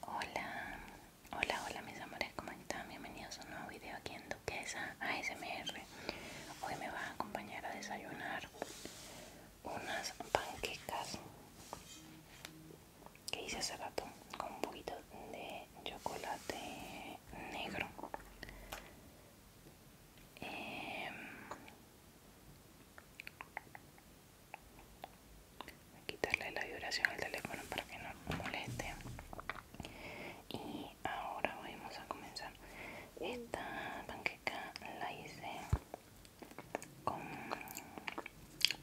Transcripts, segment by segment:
Hola, hola, hola mis amores, ¿cómo están? Bienvenidos a un nuevo video aquí en Duquesa ASMR. Hoy me va a acompañar a desayunar unas panquecas que hice hace rato con un poquito de chocolate negro. Em, a quitarle la vibración al teléfono para que no moleste. Y ahora vamos a comenzar. Esta panqueca la hice con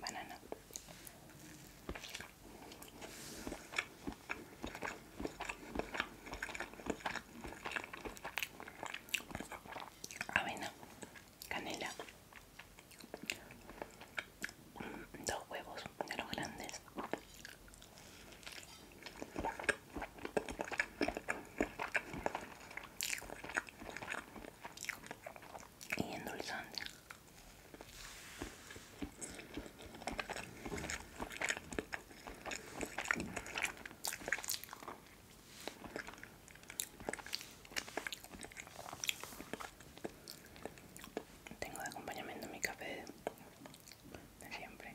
banana. Avena canela, dos huevos de los grandes, y endulzante. Tengo de acompañamiento mi café de siempre.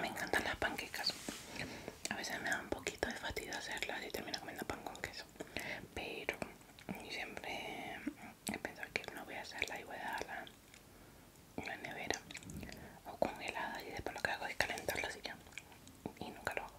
Me encantan las panquecas. A veces me da un poquito de fatiga hacerlas y termino comiendo pan con queso. Pero siempre he pensado que no voy a hacerla y voy a dejarla en la nevera o congelada y después lo que hago es calentarla y ya. Y nunca lo hago.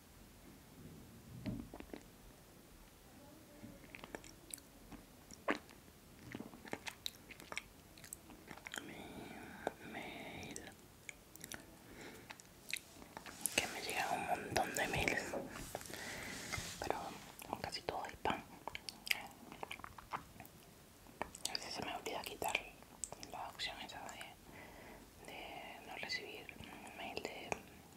que me llega un montón de mails pero casi todo el pan a veces se me olvida quitar la opción esa de, de no recibir mail de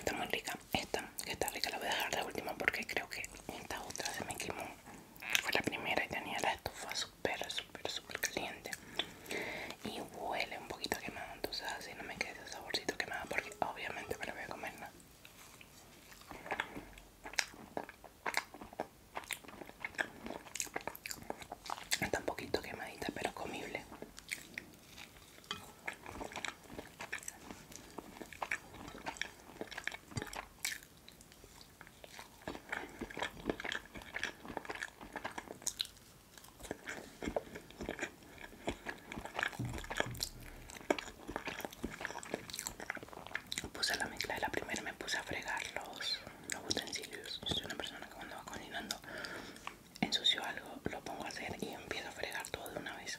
esta muy rica, esta que está rica la voy a dejar de última porque creo que esta otra se me quemó. Fue la primera y tenía la estufa pero súper, súper caliente y huele un poquito quemado. Entonces, así no me quede ese saborcito quemado porque obviamente me lo voy a comer. nada Está un poquito quemadita, pero comible. Puse la mezcla de la primera, y me puse a fregar los, utensilios. Yo soy una persona que cuando va cocinando ensucio algo, lo pongo a hacer y empiezo a fregar todo de una vez.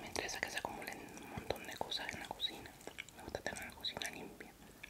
Me interesa que se acumulen un montón de cosas en la cocina. Me gusta tener la cocina limpia.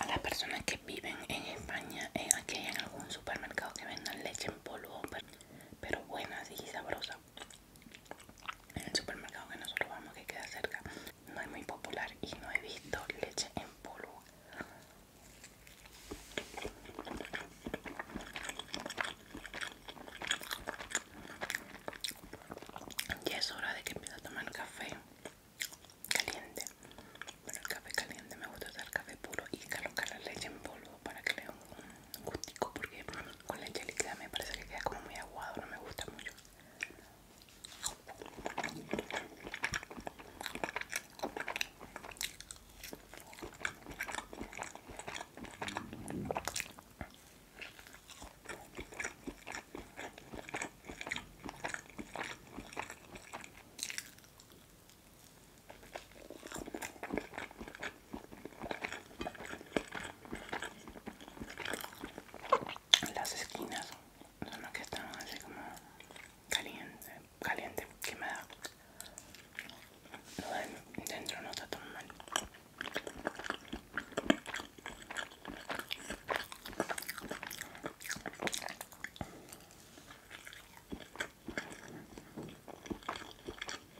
A las personas que viven en España, aquí hay en algún supermercado que vendan leche en polvo, pero, pero buena y sabrosa en el supermercado que nosotros vamos que queda cerca no es muy popular y no he visto leche en polvo ya es hora de que empiece a tomar café caliente pero el café caliente me gusta usar café puro y colocar la leche en polvo para que le dé un gustico porque con la líquida me parece que queda como muy aguado, no me gusta mucho. Las esquinas son las que están así como caliente, caliente, quemada. Lo de dentro no está tan mal.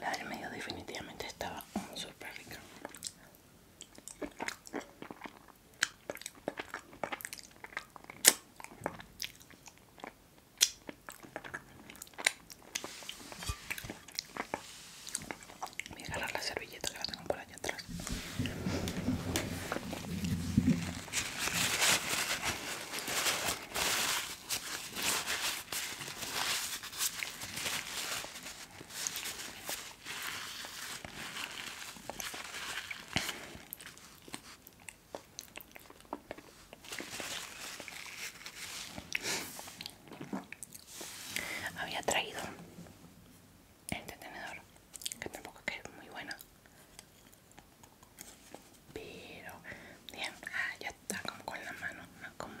La del medio definitivamente estaba súper rica. Voy a agarrar la servilleta que la tengo por allá atrás. Había traído este tenedor que tampoco es que es muy bueno pero, bien, ah, ya está como con la mano, no como...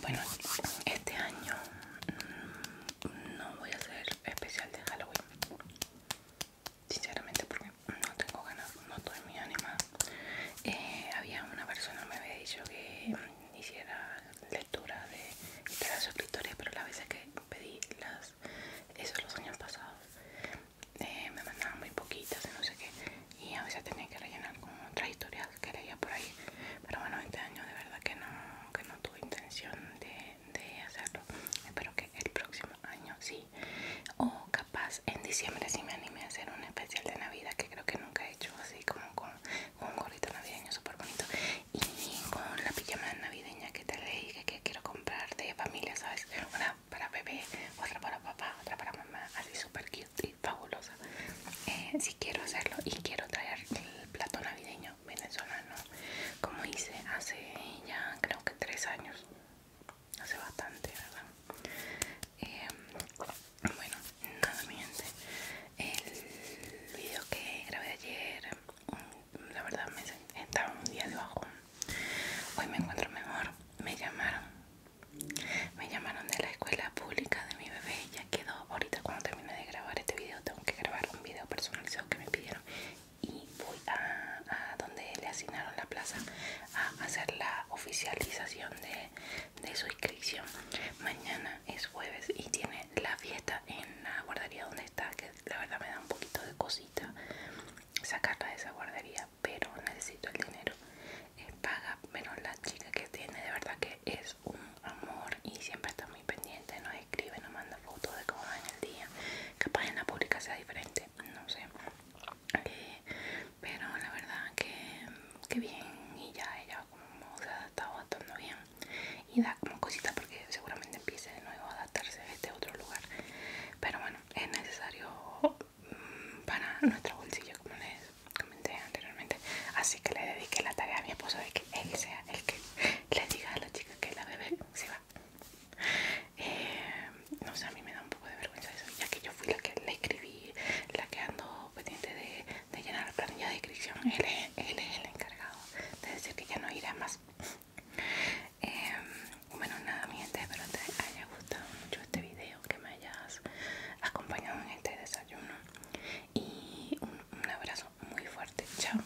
Bueno, este año mm, no voy a hacer especial de Halloween sinceramente porque no tengo ganas, no estoy mi ánimo eh, había una persona me había dicho que hiciera lectura de historias pero la vez que pedí las, eso los años pasados, eh, me mandaban muy poquitas y no sé qué, y a veces tenía que rellenar con otras historias que leía por ahí. Pero bueno, este año de verdad que no, que no tuve intención de de, hacerlo. Espero que el próximo año sí. O capaz en diciembre si me animé a hacer un especial de Navidad que creo que nunca he hecho. Así como con, un gorrito navideño súper bonito. Y con la pijama navideña que te leí que, que quiero comprar de familia, ¿sabes? Una para bebé, otra para papá, otra para mamá. Así súper cute y fabulosa. Eh, si quiero hacerlo y quiero traer el plato navideño venezolano como hice hace ya creo que tres años hace bastante, ¿verdad? Em, bueno, nada mi gente, el video que grabé ayer, mm, la verdad me estaba un día de Hoy me encuentro mejor, me llamaron, me llamaron de la escuela pública de mi bebé, ya quedó, ahorita cuando terminé de grabar este video tengo que grabar un video personalizado que me pidieron y voy a, donde le asignaron la plaza a hacer la oficialización de, su inscripción. Mañana es jueves y tiene la fiesta en la guardería donde está, que la verdad me da un poquito de cosita sacarla de esa guardería, pero necesito el dinero. Eh, paga, menos la chica que tiene de verdad que es un amor y siempre está muy pendiente, no escribe, nos manda fotos de cómo va en el día. Capaz en la pública sea diferente, no sé. Eh, pero la verdad que, que bien y ya ella como se ha adaptado bastante bien y da como cosita porque seguramente empiece de nuevo a adaptarse a este otro lugar. Pero bueno, es necesario mm, para nuestro bolsillo como les comenté anteriormente. Así que le dediqué la tarea a mi esposo de que él sea el que le diga a la chica que la bebé se va eh, no sé, a mí me da un poco de vergüenza eso, ya que yo fui la que le escribí, la que ando pendiente de, llenar la planilla de inscripción. Él es, el encargado de decir que ya no irá más. Em, bueno, nada, mi gente, espero te haya gustado mucho este video, que me hayas acompañado en este desayuno. Y un abrazo muy fuerte. Chao.